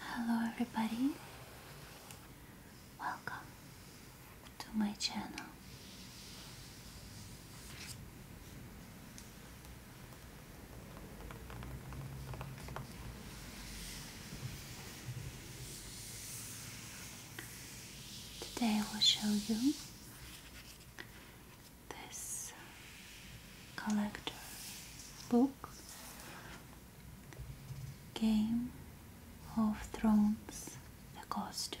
Hello, everybody. Welcome to my channel. Today I will show you this collector book Game of Thrones The Costumes.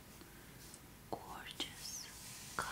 gorgeous color.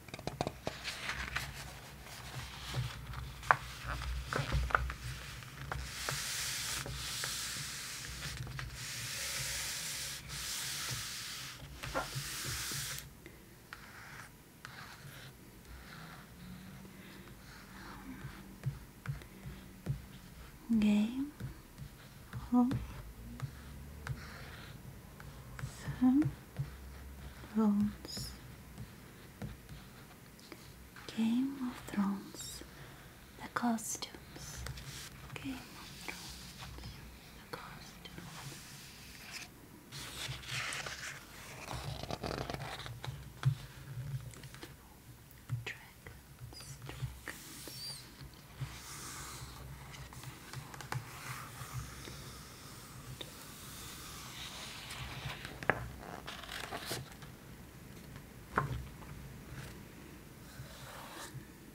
Game of Thrones. Game of Thrones. The costumes. Game of Thrones. The costumes. Dragons.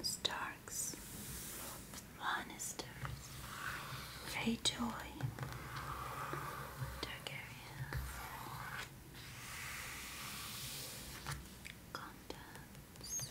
Starks, Lannisters, Greyjoy, Targaryen, Contents,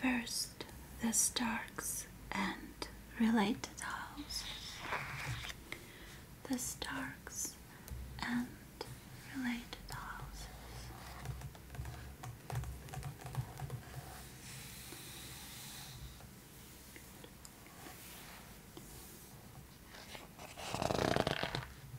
First, the Starks and related houses. The Starks and related houses.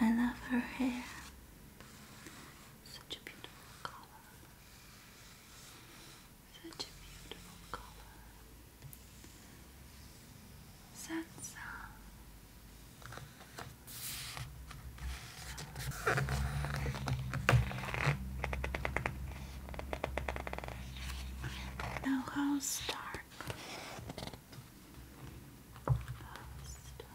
I love her hair. Such a beautiful color. Such a beautiful color. Sansa. Now, how's dark? pasta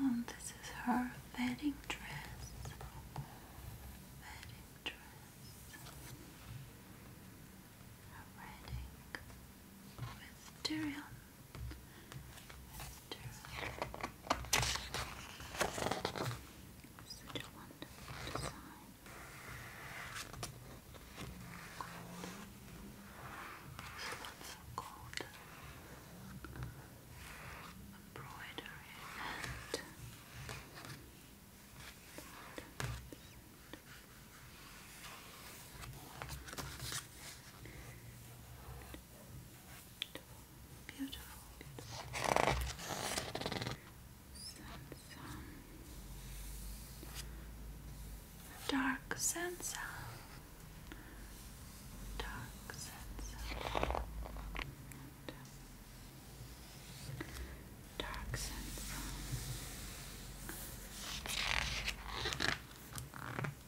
um, this is her wedding dress. Wedding dress. wedding with durian such a wonderful design. Gold. Embroidery and Beautiful, beautiful. Samsung. Dark Sansa. Dark Sansa. Dark Sansa.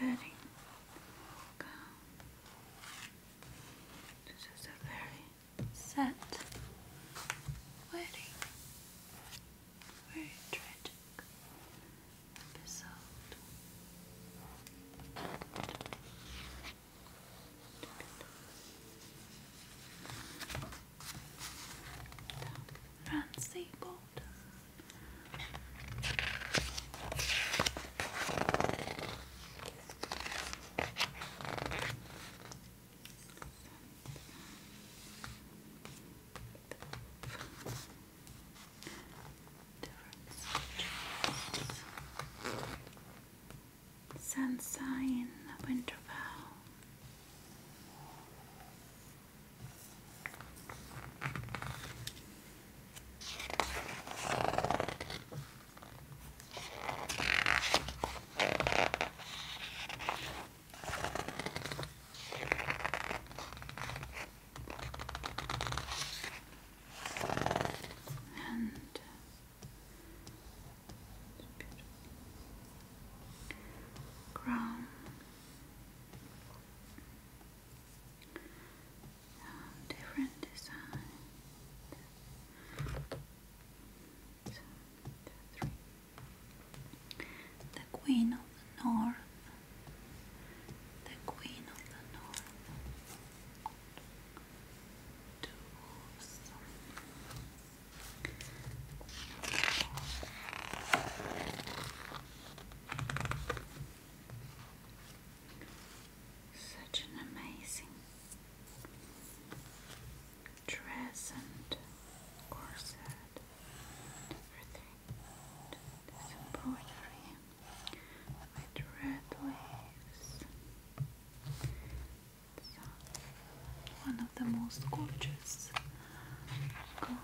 letting go. This is a very sad very tragic episode. Rancy Bolton Sunshine Winterfell. And crown different designs. The Queen of the North. The Queen of the North. Two such an amazing dress and corset and embroidery with red waves. So, one of the most gorgeous. Gold.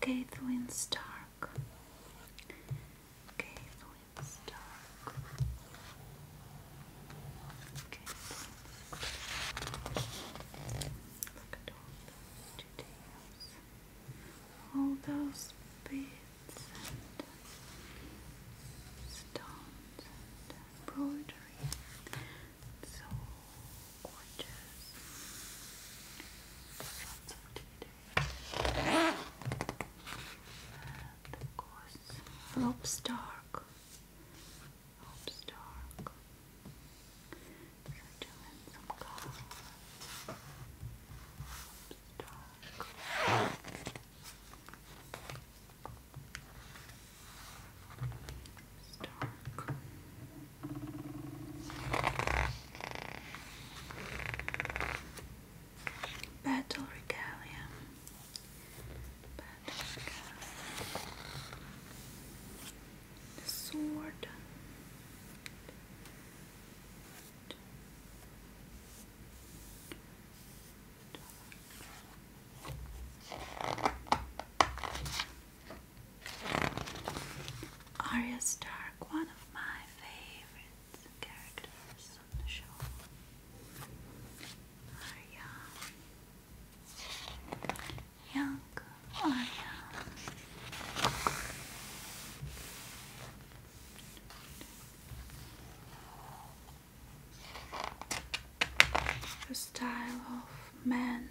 Caitlin Stark. Look at all those details. All those beads and stones and embroidery. It's oranges. Lots of today. of course, Lobstark. Lobstark. So doing some color. Lobstark. Stark. Battle Regalia. Battle Regalia. The sword. Arya Stark, one of my favorite characters on the show. Arya. Young Arya. The style of men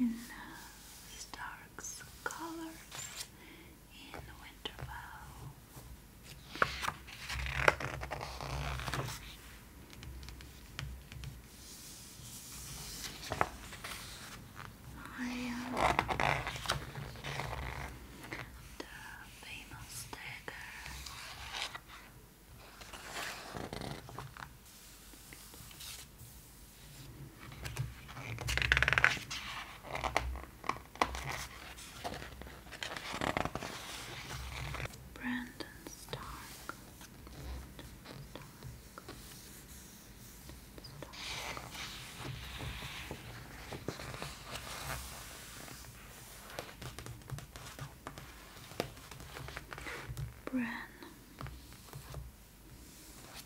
in uh, Stark's colors in Winterfell. I uh, the famous dagger. Brandon Stark. Bran Brand.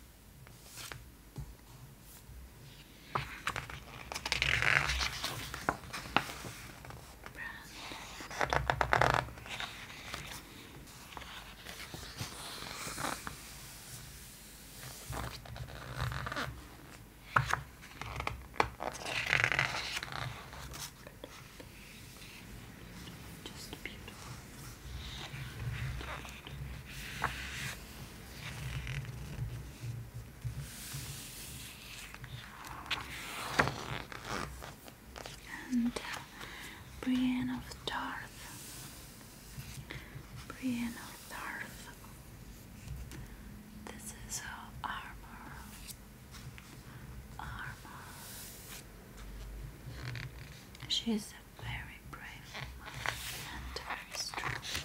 Just beautiful. Uh, Brienne of Tarth. Brienne of Tarth. This is uh, armor. Armor. She's a very brave and very strong. Maria.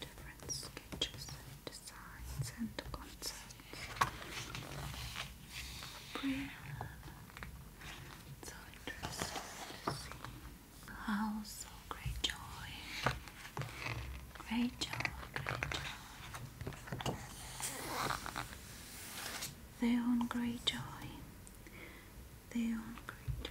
different sketches and designs and concepts. Brilliant. So interesting to great joy. Great joy, They own great joy. They own great joy.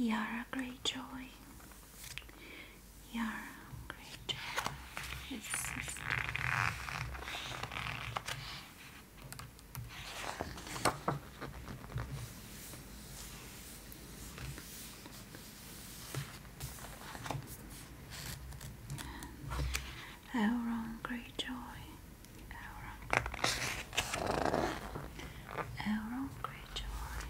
You are a great joy. You are a great joy. Our great joy, our great joy.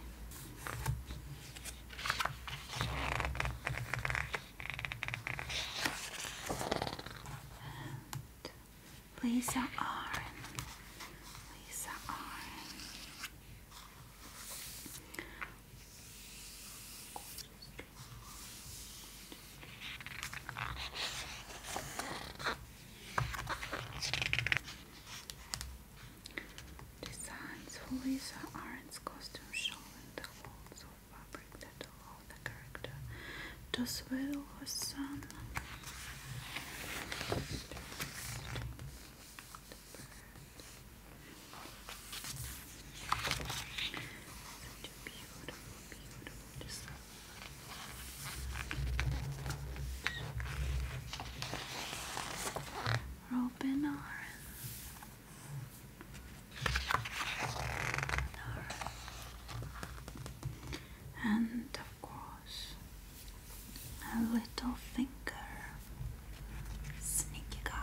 And Lisa Arn, Lisa Arn. Designs for Lisa Arendt's costume showing the folds of fabric that allow the character to swell her sun beautiful, beautiful. Just so Robin Aran. And of course, a little finger, sneaky guy.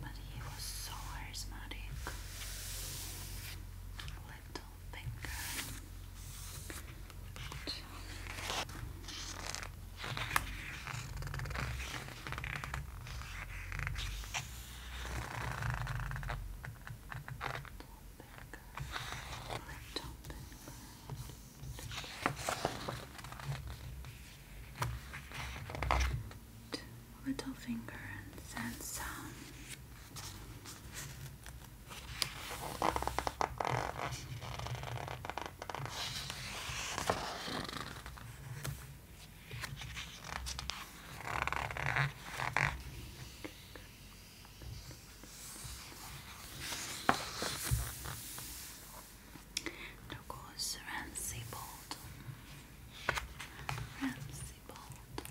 But he was so charismatic. Little finger. Little finger. Little finger. Little finger and sand sound. And of course, Ramsey Bolton. Ramsey Bolton.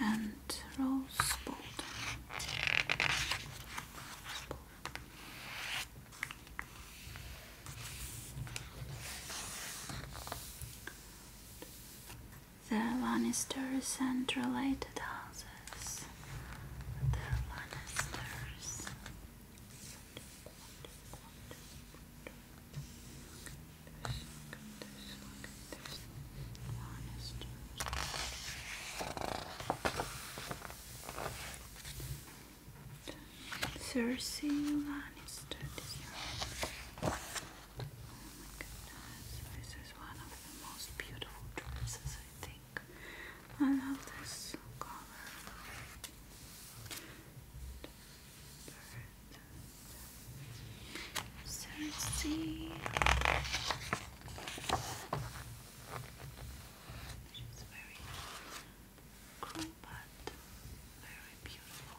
And Rose Bolton. The Lannisters and related houses. The Lannisters. Cersei Lannister my goodness, this is one of the most beautiful dresses, I think. I love this color. Cersei. She's very cruel but very beautiful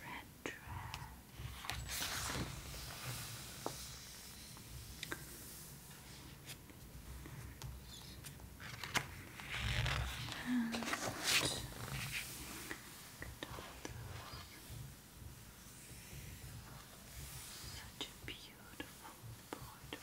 Red dress. And such a beautiful border.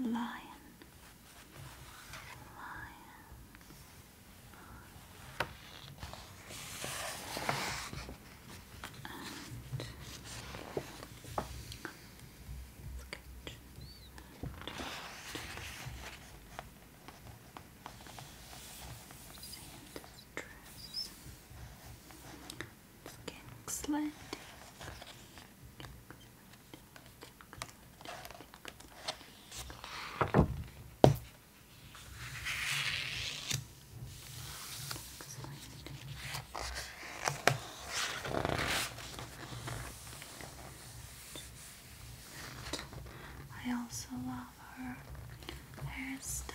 lion, lion, and Sand dress. I also love her hairstyle.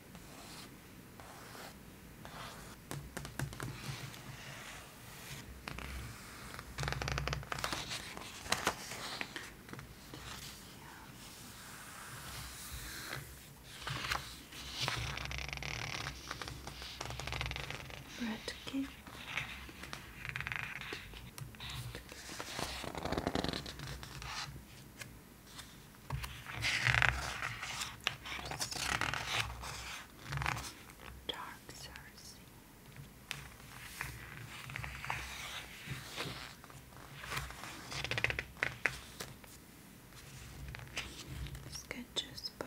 Bread cake. Dark Cersei. Sketches by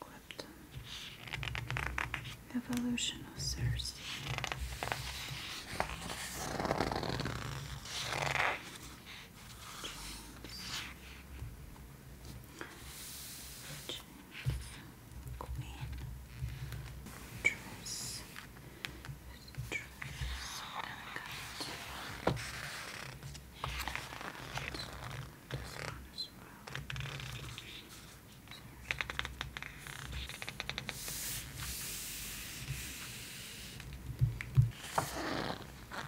Clipton. Evolution Cersei. James, Queen, dress, dress, and this one as well. Sorry.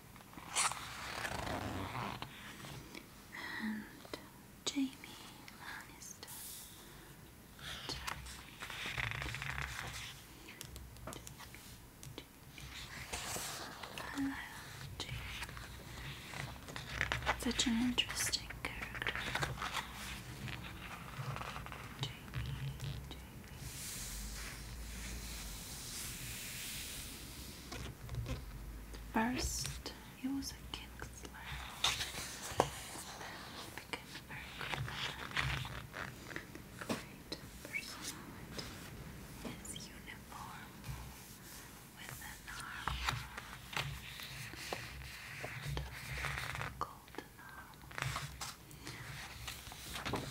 and Jamie Lannister. Jamie. Such an interesting character. First, he was a kingslayer, and became a very good man. His uniform with an armor a golden armor.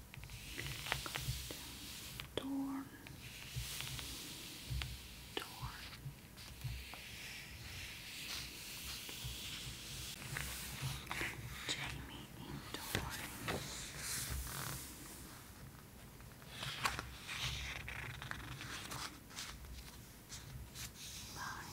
Door. Door. Jamie indoors. Light.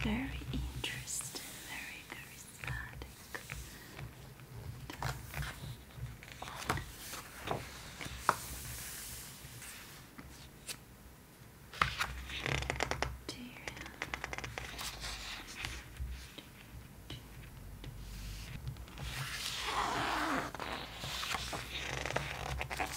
Very interesting, very charismatic. Dear.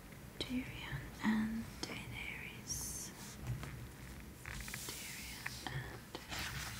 Tyrion and Daenerys. Tyrion and Daenerys.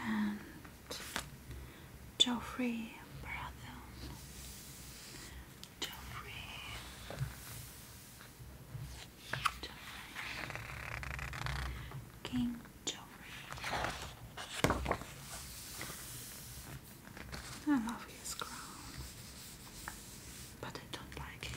and Joffrey Baratheon. Joffrey. King Joffrey. I love his crown, but I don't like it.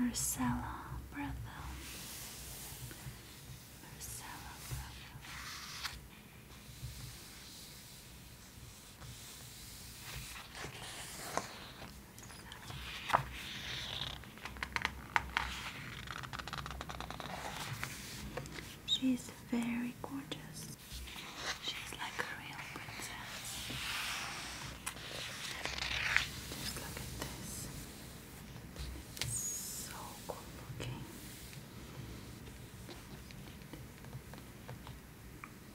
Marcella Brother. Marcella Brother. She's very gorgeous. She's like a real princess. Just look at this. so cool looking.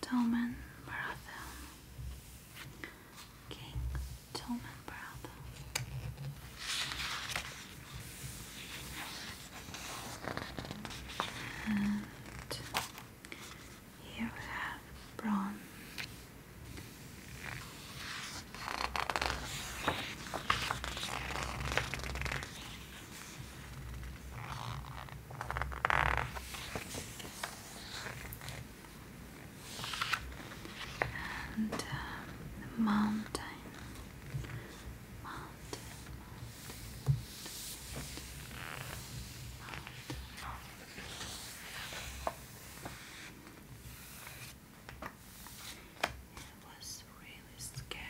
Toman Baratha. King Toman Baratha. And here we have Bron and um, uh, the mountain. It was really scary.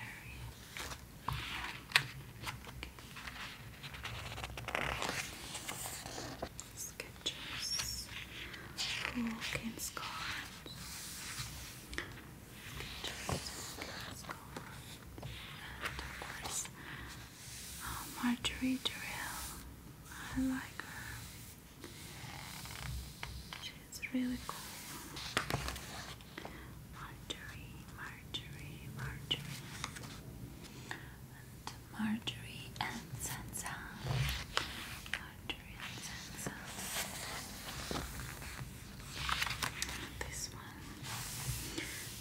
Sketches, Hawkins cards, Sketches, Hawkins cards, and of course, Marjorie Durrell. I like her. She's really cool. Marjorie, Marjorie, Marjorie and Marjorie and Sansa. Marjorie and Sansa. This one.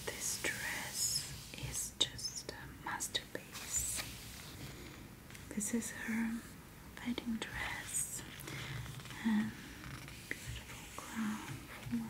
This dress is just a masterpiece. This is her wedding dress and beautiful crown.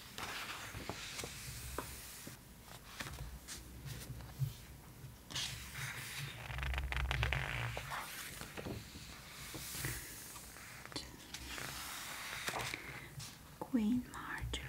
Queen Marjorie.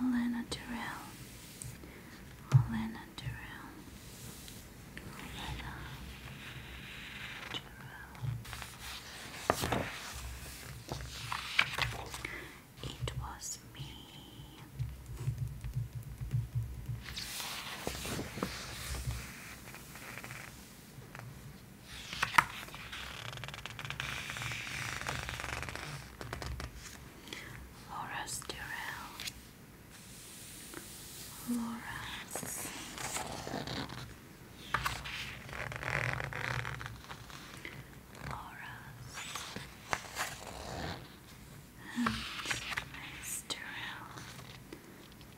And Alena Durrell. Alena Durrell. Alena It was me. Horace Durrell, Loras, Loras, and Miss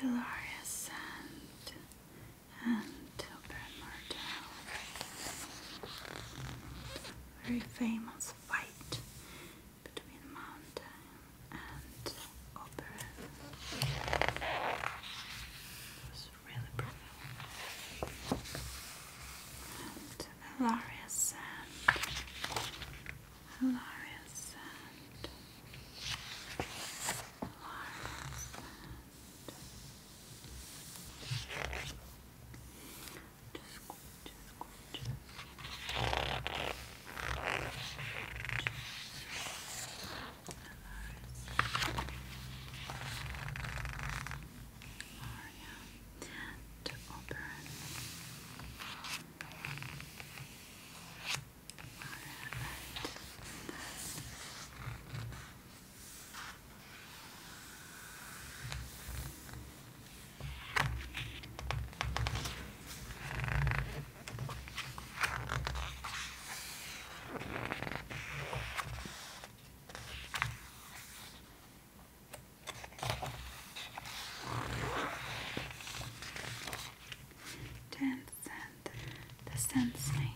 Hilarious and and Ober Myrtle. Very famous fight between Mountain and Oberon. was really brutal. And hilarious and hilarious and hilarious and just gorgeous, gorgeous. Maria to Oberon. Alright, Tenth cent, the cent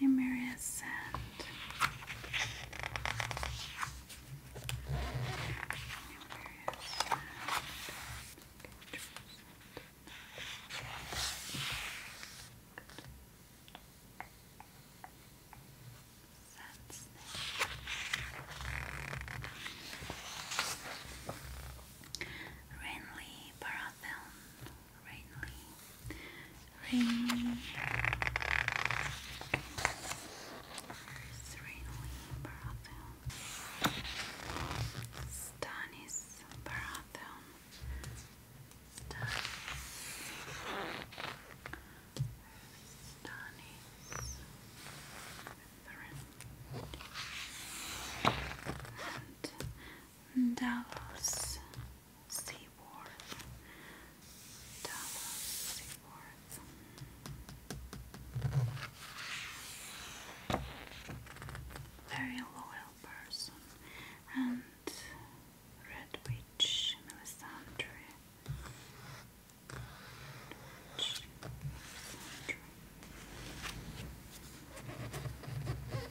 numerous and numerous and Sense. Renly Rainly. Rain. Where's Rainly Barathon? Stanis Barathon. Stanis. Stanis. And Davos Seaworth, Dallas Seaworth. Very loyal person. And Red Witch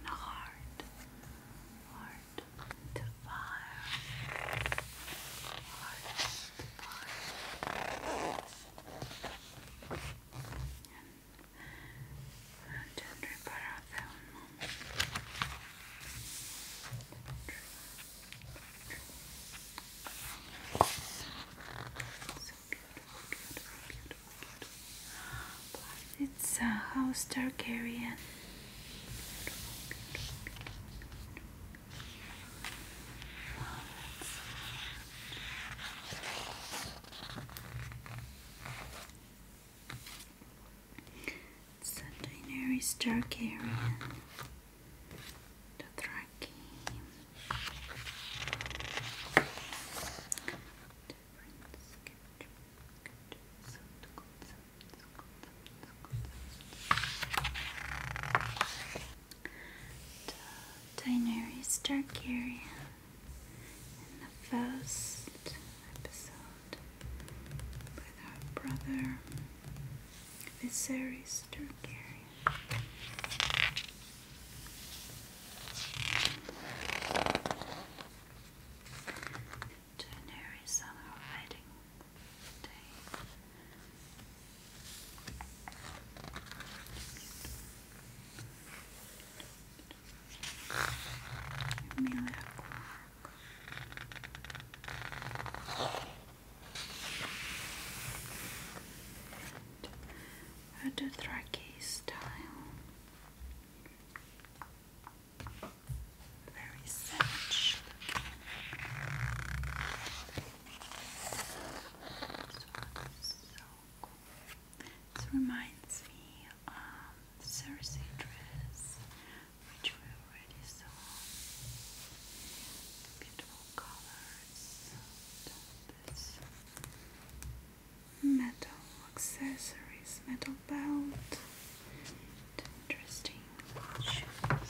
and hard, hard to fire, hard to fire, and gently put out that so beautiful, beautiful, beautiful, it's a uh, House Targaryen. it's a Daenerys Targaryen. Dothraki different sketch. dark area in the first episode with our brother Viserys Targaryen. January summer wedding day. Amelia Clark. Dothraki style. Very savage This reminds me Cersei dress, which we already saw. Beautiful colors. This metal accessories, metal belt, interesting shoes.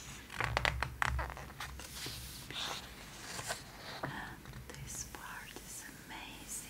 this part is amazing.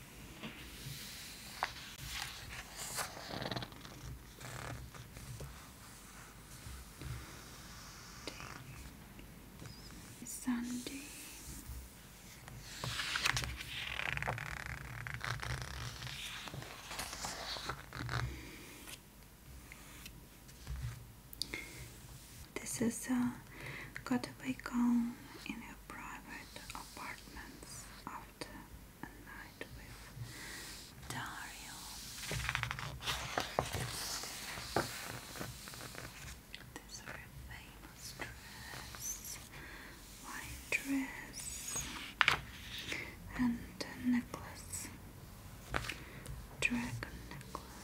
Sunday. This is a uh, Gottebei Calm in a private apartments a night with Dario. This very famous dress, white dress, and a necklace, dragon necklace.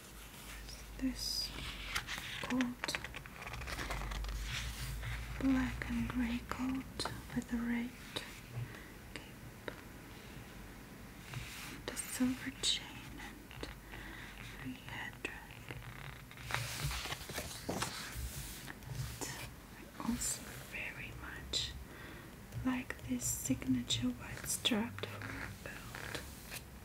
this coat, black and grey coat with a red cape, the silver chain and three head I also very much like this signature white strap for a belt.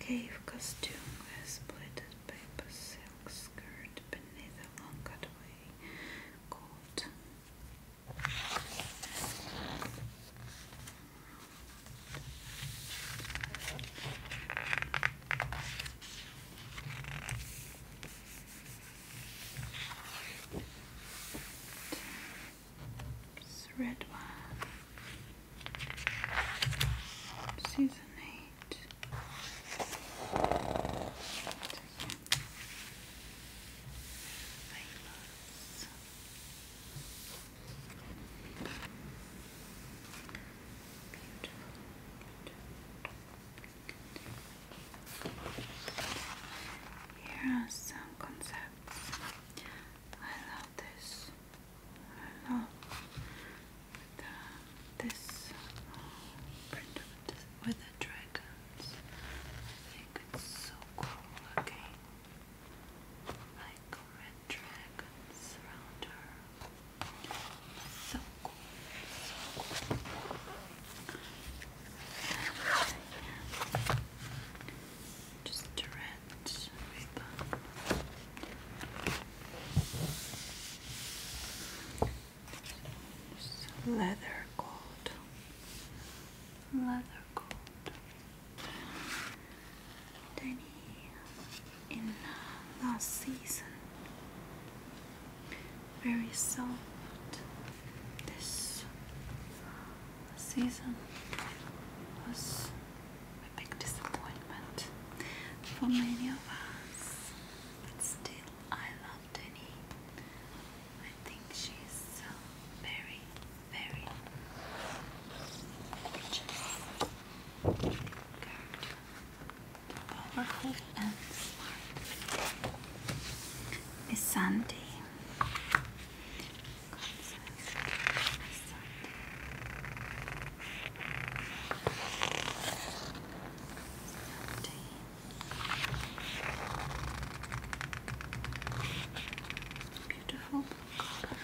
Cave costume with split paper silk skirt beneath a long cutaway coat. Red one Season 8. Here are some concepts. I love this. I love the, this print with, with the dragons. I think so cool looking. Like red dragons around her. So cool. Just drag leather coat. Leather coat. Danny in last season. Very soft. This season was a big disappointment for many of us. still, I love Denny. I think she's uh, very, very gorgeous character, powerful and smart. It's Sunday. Beautiful color.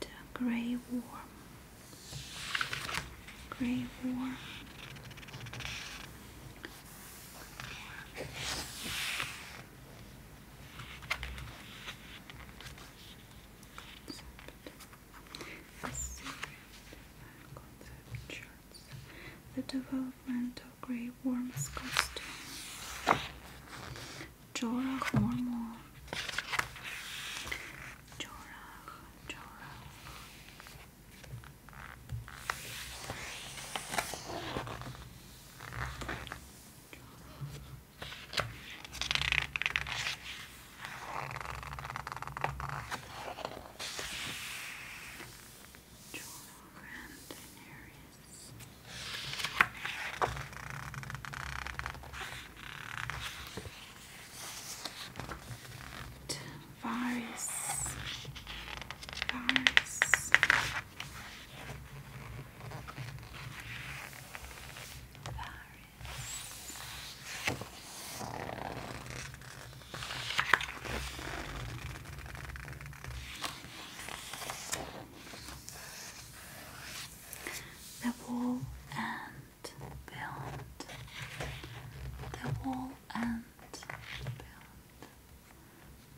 The grey War. Gray War. The development of grey worm's costume. Jorah Mormor. Jorah Joro. Joro Grand Daenerys. Joro Tavares. Tavares. The wall and build the wall and build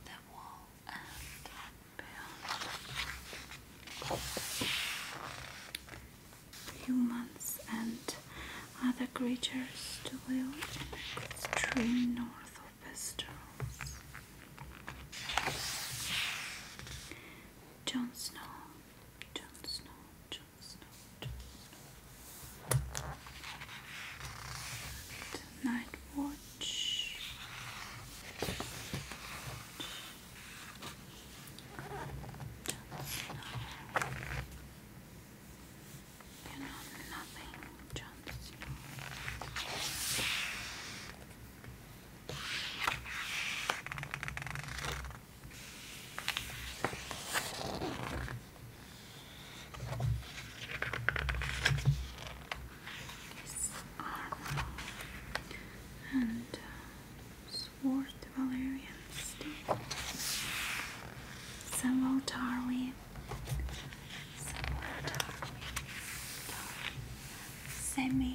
the wall and build humans and other creatures to live in extreme north of Westeros. Jon Snow, Jon Snow, Night watch. You know nothing, John his armor and uh, sword Valerian steel. Samuel Tarly. Samuel Tarly.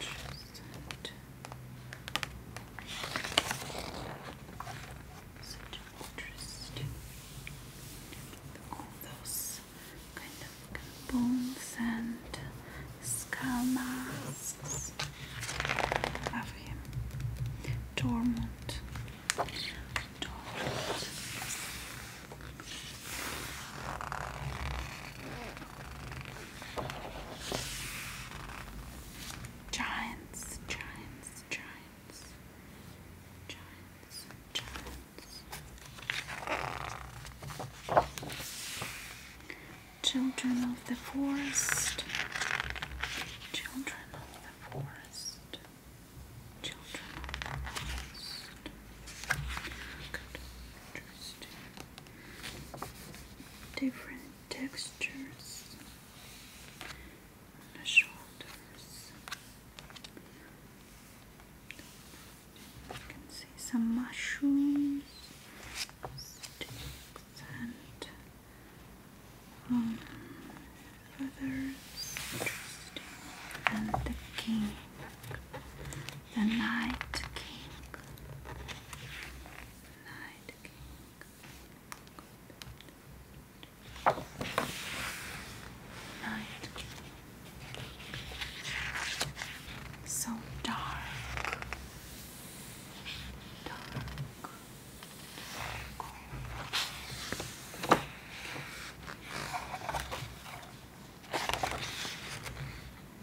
interesting. All those kind of bones and skull masks. Love him. Torment. Torment. Giants, giants, giants, giants, giants. Children of the forest, children of the forest, children of the forest. Good. Interesting different textures on the shoulders. You can see some mushrooms, sticks, and um, feathers. And the king. The Night King. Night King. Night So dark. Dark.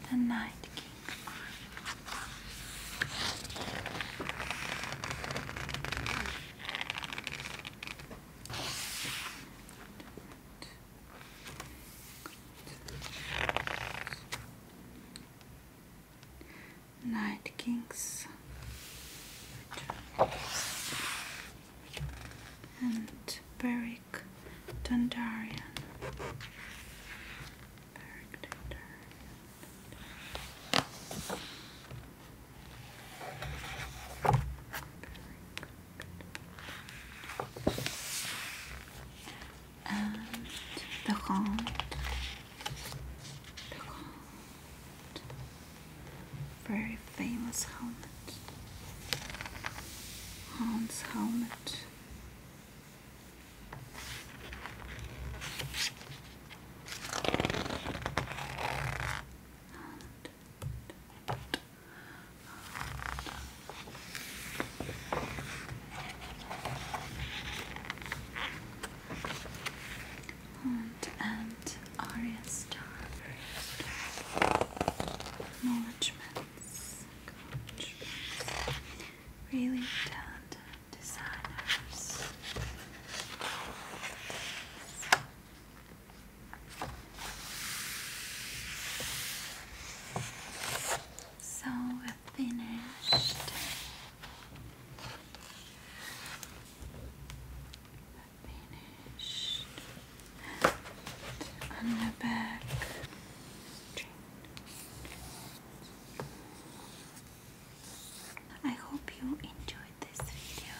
The Night King. Night King's and very Dundarian, the Hound, very famous helmet, Hound's helmet, and, and Aria Star, Acknowledgement really talented designers. So finished. finished and I hope you enjoyed this video.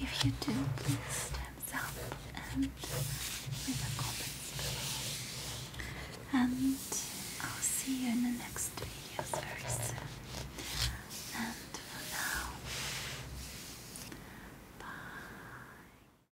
If you do, please thumbs up and leave a comment below. And I'll see you in the next videos And for now, bye.